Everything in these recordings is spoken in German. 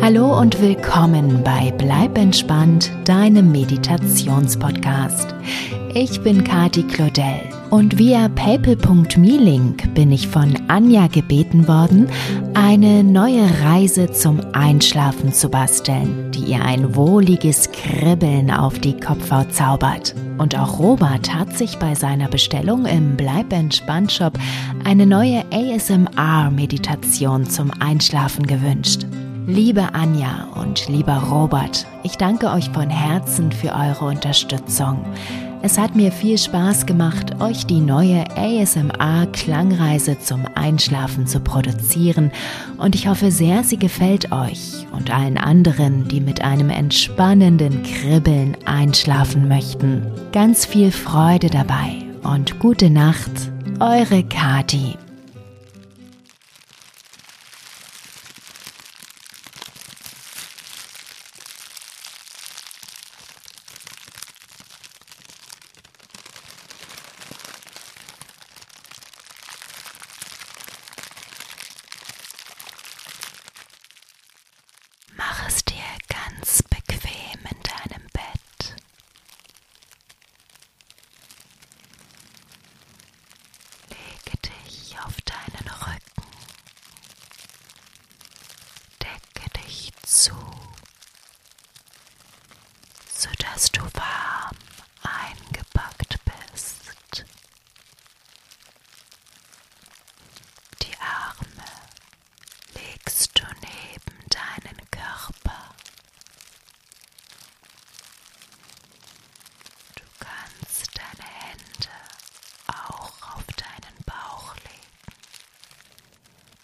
Hallo und willkommen bei Bleib entspannt, deinem Meditationspodcast. Ich bin Kati Claudel und via paypal.me-Link bin ich von Anja gebeten worden, eine neue Reise zum Einschlafen zu basteln, die ihr ein wohliges leichtes Kribbeln auf die Kopfhaut zaubert. Und auch Robert hat sich bei seiner Bestellung im Bleib entspannt Shop eine neue ASMR-Meditation zum Einschlafen gewünscht. Liebe Anja und lieber Robert, ich danke euch von Herzen für eure Unterstützung. Es hat mir viel Spaß gemacht, euch die neue ASMR-Klangreise zum Einschlafen zu produzieren und ich hoffe sehr, sie gefällt euch dich und allen anderen, die mit einem entspannenden Kribbeln einschlafen möchten. Ganz viel Freude dabei und gute Nacht, eure Kati. Mach es dir ganz bequem in deinem Bett. Lege dich auf deinen Rücken. Decke dich zu, sodass du warm eingepackt bist. Die Arme legst du neben deinen Körper. Du kannst deine Hände auch auf deinen Bauch legen,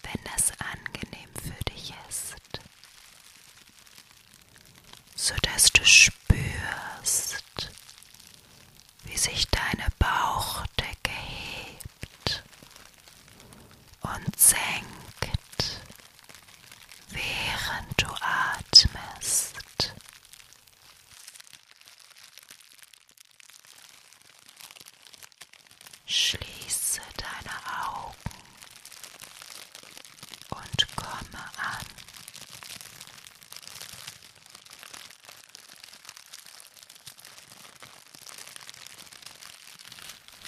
wenn das angenehm für dich ist sodass du spürst, wie sich deine Bauchdecke hebt und senkt, während du atmest. Schließe deine Augen und komme an.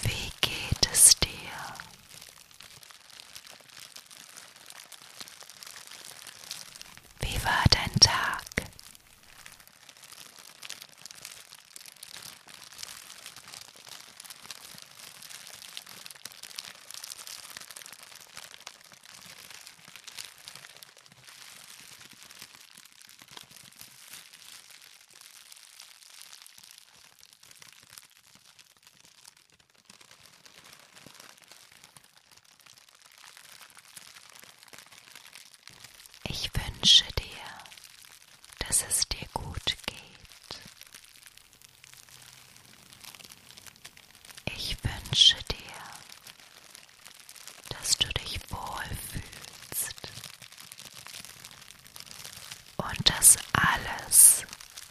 Wie geht es dir? Wie war dein Tag? Ich wünsche dir, dass es dir gut geht ich wünsche dir, dass du dich wohlfühlst und dass alles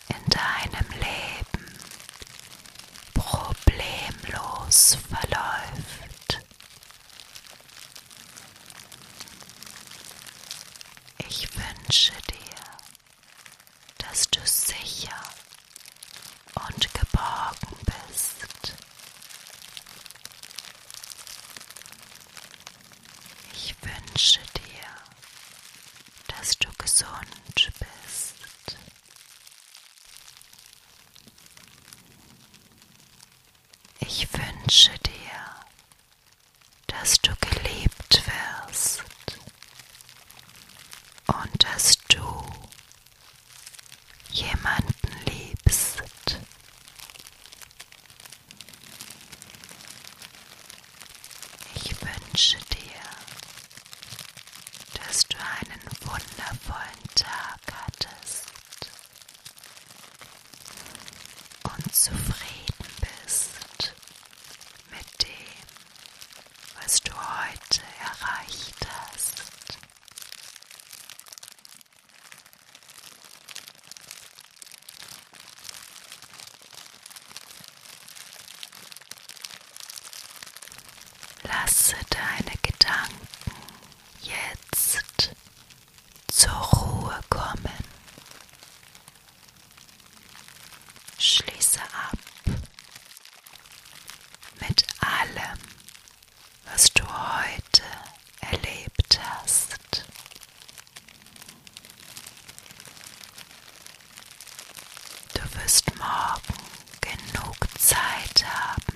in deinem Leben problemlos verläuft. Ich wünsche dir, dass du sicher und geborgen bist. Ich wünsche dir, dass du gesund bist. Ich wünsche dir, dass du geliebt wirst und dass du jemanden liebst. Ich wünsche dir, dass du einen wundervollen Tag hattest und zufrieden bist mit dem, was du heute erreicht hast. Lasse deine Gedanken jetzt zur Ruhe kommen Schließe ab mit allem, was du heute erlebt hast. Du wirst morgen genug Zeit haben,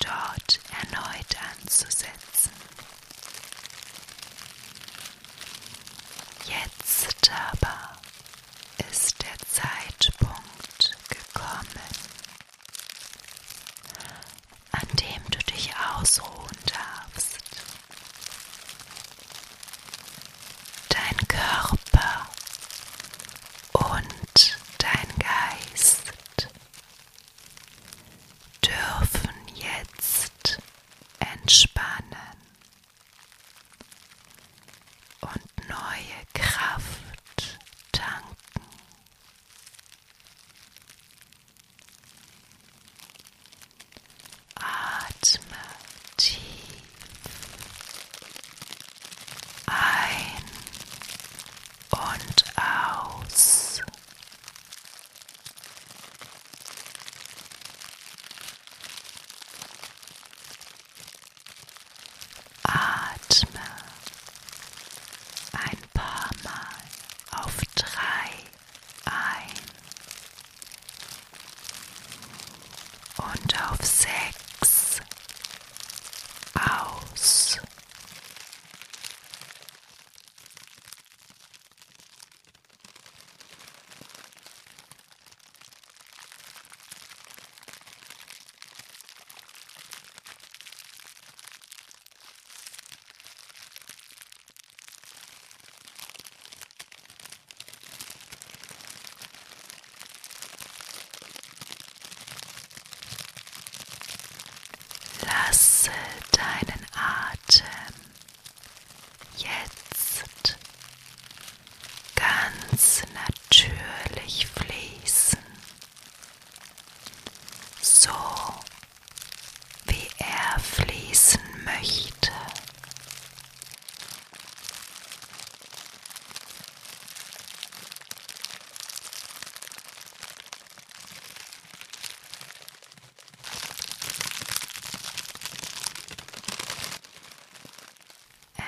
dort erneut anzusetzen. Jetzt aber ist der Zeitpunkt gekommen, an dem du dich ausruhen darfst. Dein Körper und dein Geist dürfen jetzt entspannen und neue Kraft tanken. Atme tief ein und aus. Atme ein paar Mal auf drei ein und auf sechs aus. Lasse deinen Atem jetzt ganz natürlich fließen, so wie er fließen möchte.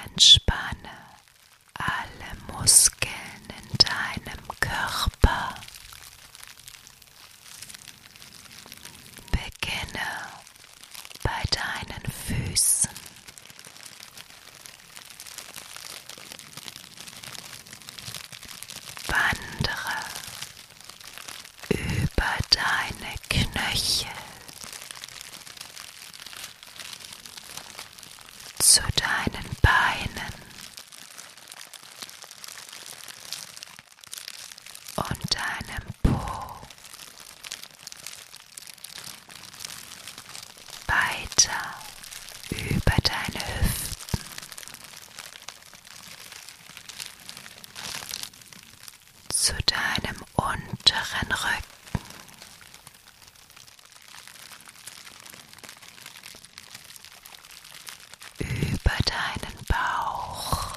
Entspanne alle Muskeln in deinem Körper. Beginne bei deinen Füßen. Wandere über deine Knöchel zu deinen Beinen und deinem Po weiter über deine Hüften zu deinem unteren Rücken. Über deinen Bauch,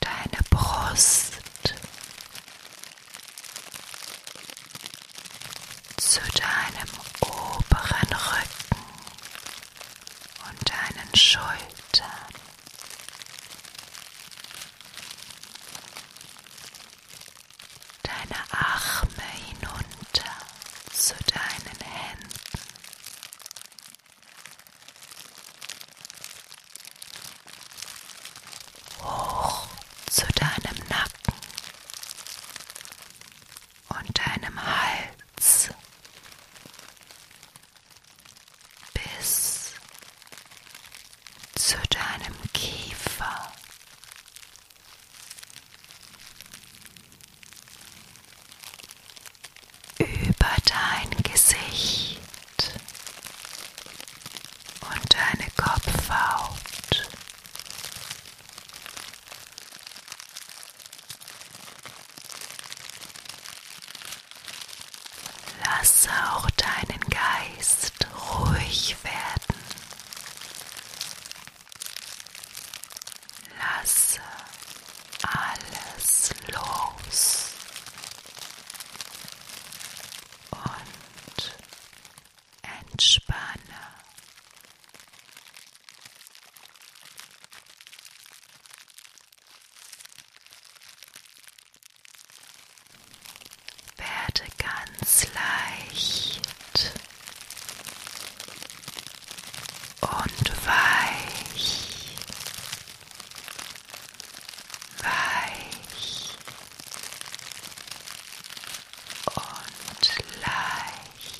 deine Brust, zu deinem oberen Rücken, und deinen Schultern. Deine Arme hinunter zu deinen Händen. Hoch zu deinem Nacken und deinem Hals bis zu deinem Kiefer. Über dein Gesicht und deine Kopfhaut. Lasse auch deinen Geist ruhig werden. Lasse alles los und entspanne. Werde ganz leicht und weich, weich und leicht.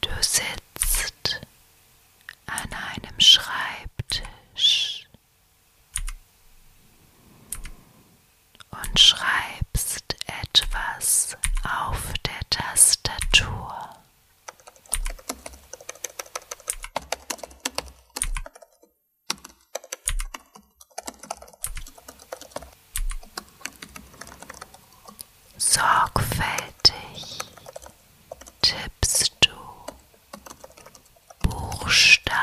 Du sitzt an einem Schreibtisch und schreibst etwas auf der Tastatur. Sorgfältig tippst du Buchstaben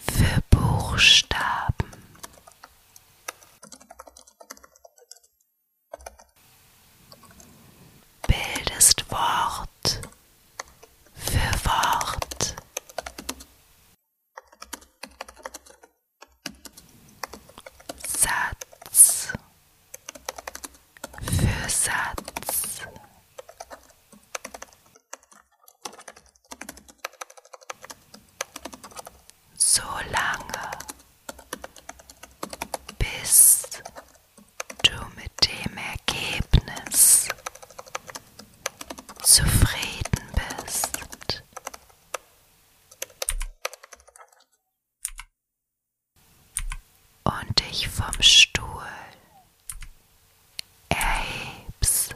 für Buchstaben bildest Wort für Wort Satz für Satz so lange, bis du mit dem Ergebnis zufrieden bist. Und dich vom Stuhl Ey, pst.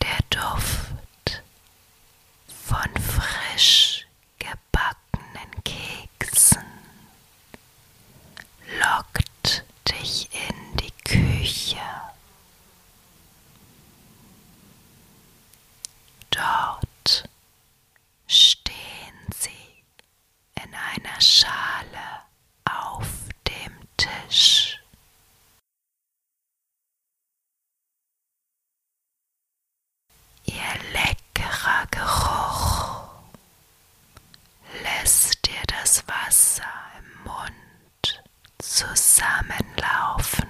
Der Duft von frisch gebackenen Keksen lockt dich in die Küche Dort stehen sie in einer Schale auf dem Tisch. Ihr leckerer Geruch lässt dir das Wasser im Mund zusammenlaufen.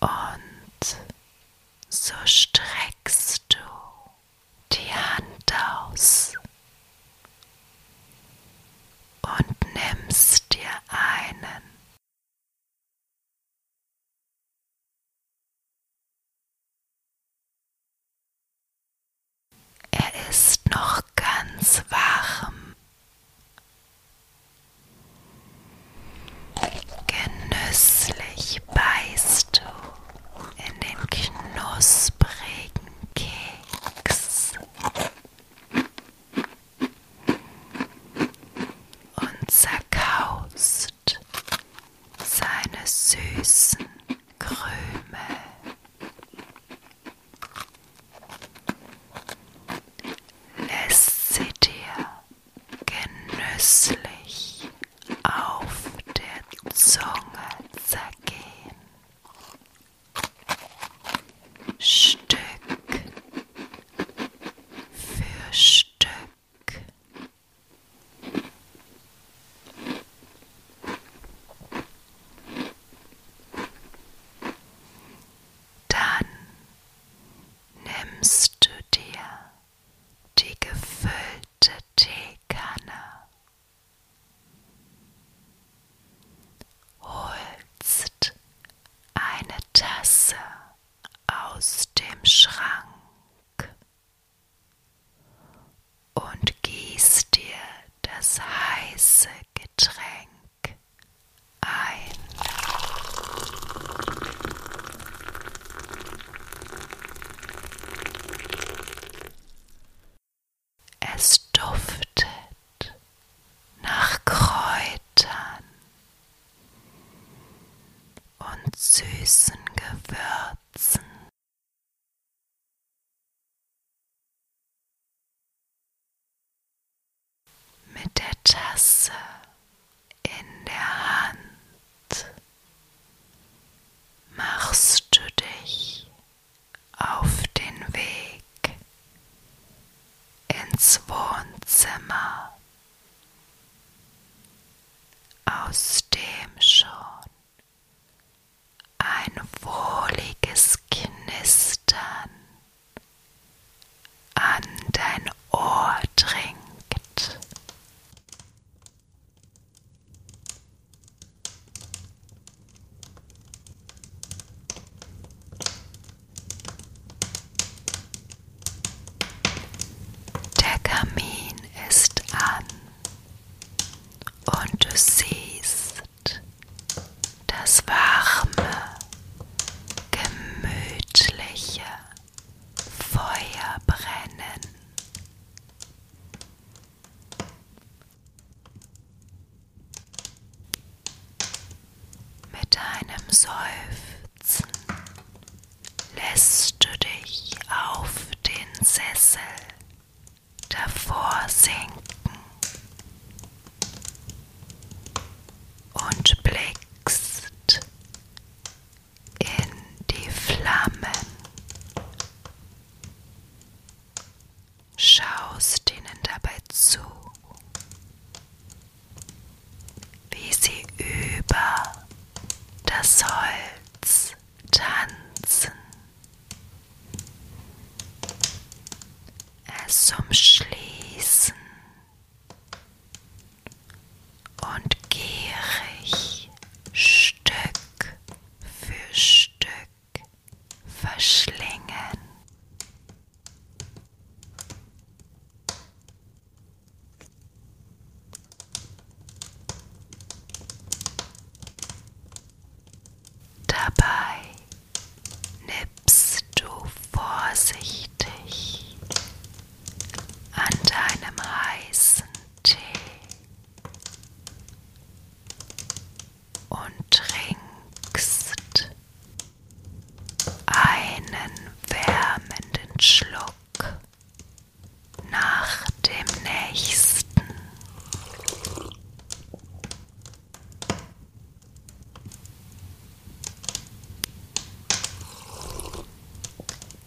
Und so streckst du die Hand aus und nimmst dir einen er ist noch ganz warm. Genüsslich beißt du in den knusprigen Keks und zerkaust seine süßen Krümel. Lässt sie dir genüsslich auf der Zunge zergehen. Stück für Stück dann nimmst du dir die gefüllte Teekanne, holst eine Tasse aus dem Schrank und gieß dir das heiße Getränk ein. Es duftet nach Kräutern und süßen Gewürzen. Herzen. Mit der Tasse in der Hand machst du dich auf den Weg ins Wohnzimmer aus dem schon ein wohliges Knistern an dein Ohr dringt. Der Kamin ist an und du siehst das warme, gemütliche Feuer brennen. Mit einem Seufzen lässt du dich auf den Sessel davor sinken und blickst in die Flammen. Schaust ihnen dabei zu, wie sie über das Holz tanzen. Es umschließen und gierig Stück für Stück verschlingen. Dabei nippst du vorsichtig an deinem heißen Tee und trinkst einen wärmenden Schluck nach dem nächsten.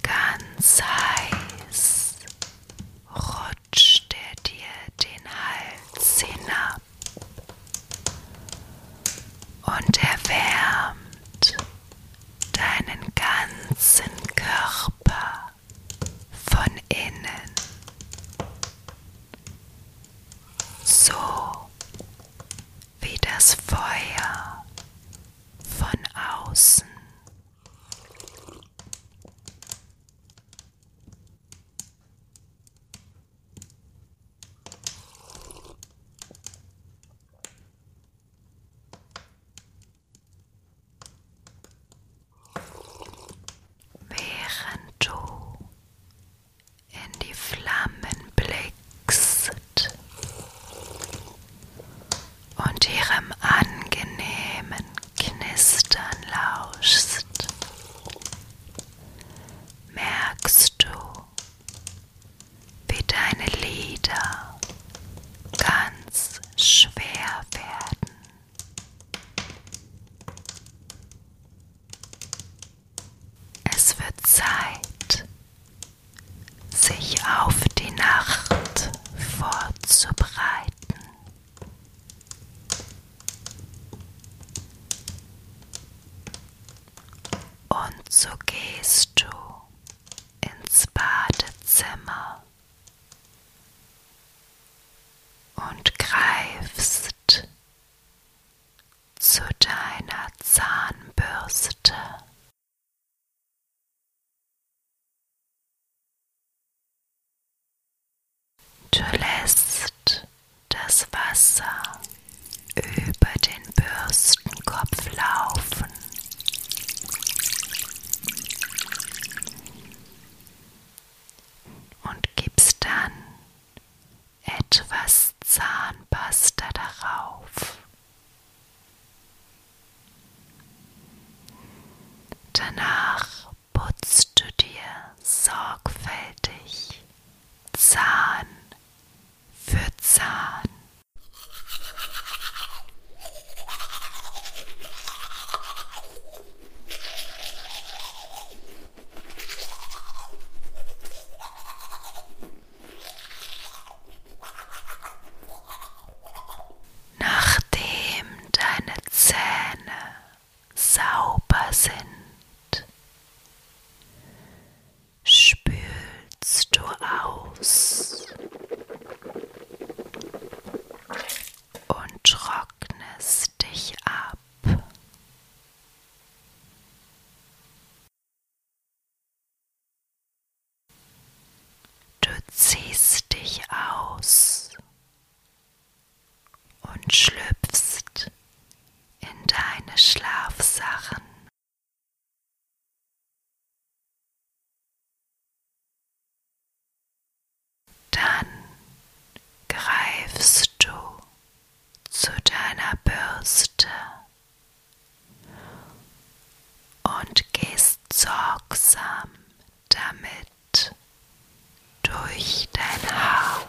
Ganz heiß rutscht er dir den Hals hinab und erwärmt deinen ganzen Körper von innen. So wie das Feuer von außen. Während du in die Flammen blickst und ihrem angenehmen Knistern lauschst, merkst du, wie deine Lieder ganz es schwer werden. Es wird Zeit, sich auf die Nacht vorzubereiten. Und so gehst du ins Badezimmer und greifst zu deiner Zahnbürste. Du lässt das Wasser über den Bürstenkopf laufen und gibst dann etwas Zahnpasta darauf. Danach putzt du dir sorgfältig Zahn für Zahn. Nachdem deine Zähne sauber sind, spülst du aus und trocknest dich ab. Du ziehst dich aus und schlüpfst in deine Schlafsachen. Dann greifst du zu deiner Bürste und gehst sorgsam damit durch dein Haar.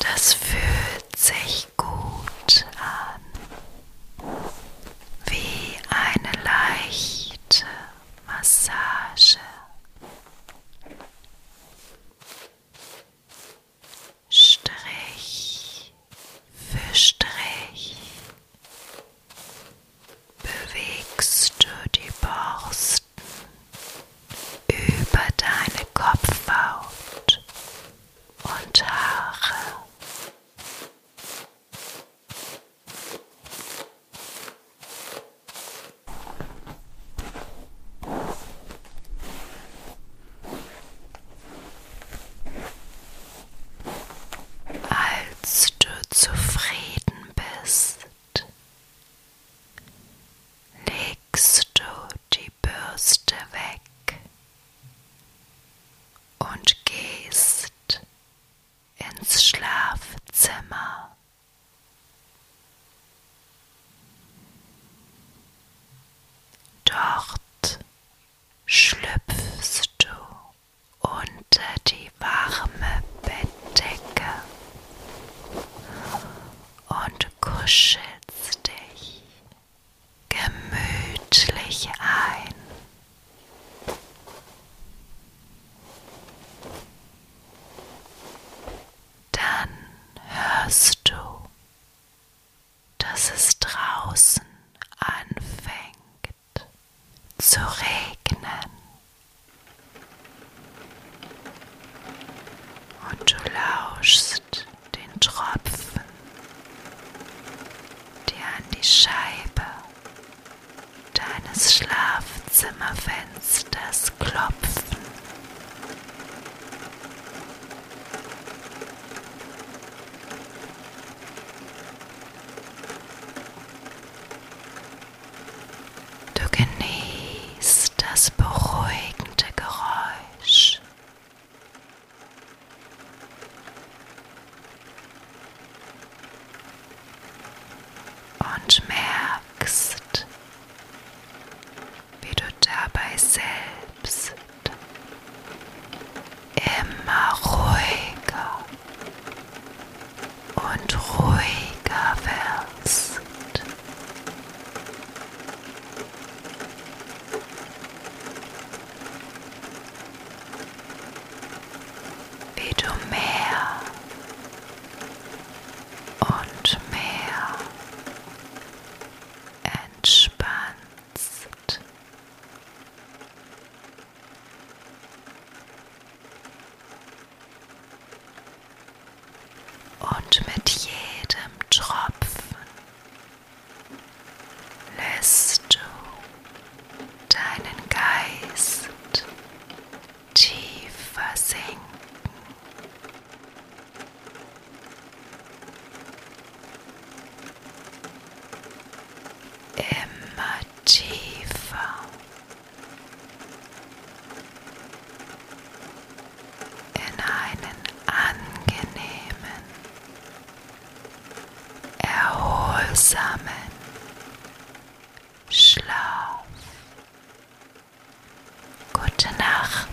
Das fühlt fühlt sich gut an, wie eine leichte Massage. Strich für Strich bewegst du die Borsten über deine Kopfhaut und Haare als du zufrieden bist, legst du die Bürste weg und gehst ins Schlafzimmer. Dort schlüpfst du unter die warme Bettdecke und kuschelst dich gemütlich ein. Dann hörst du, dass es draußen anfängt zu regnen. Und du lauschst den Tropfen, der an die Scheibe deines Schlafzimmerfensters klopfen. Du genießt das beruhigende Geräusch und merkst, wie du dabei selbst immer ruhiger und ruhiger wirst wie du mehr und mehr entspannst. Und mit jedem Tropfen lässt du deinen Geist tiefer sinken. Immer tiefer. in einen angenehmen erholsamen Schlaf. Gute Nacht.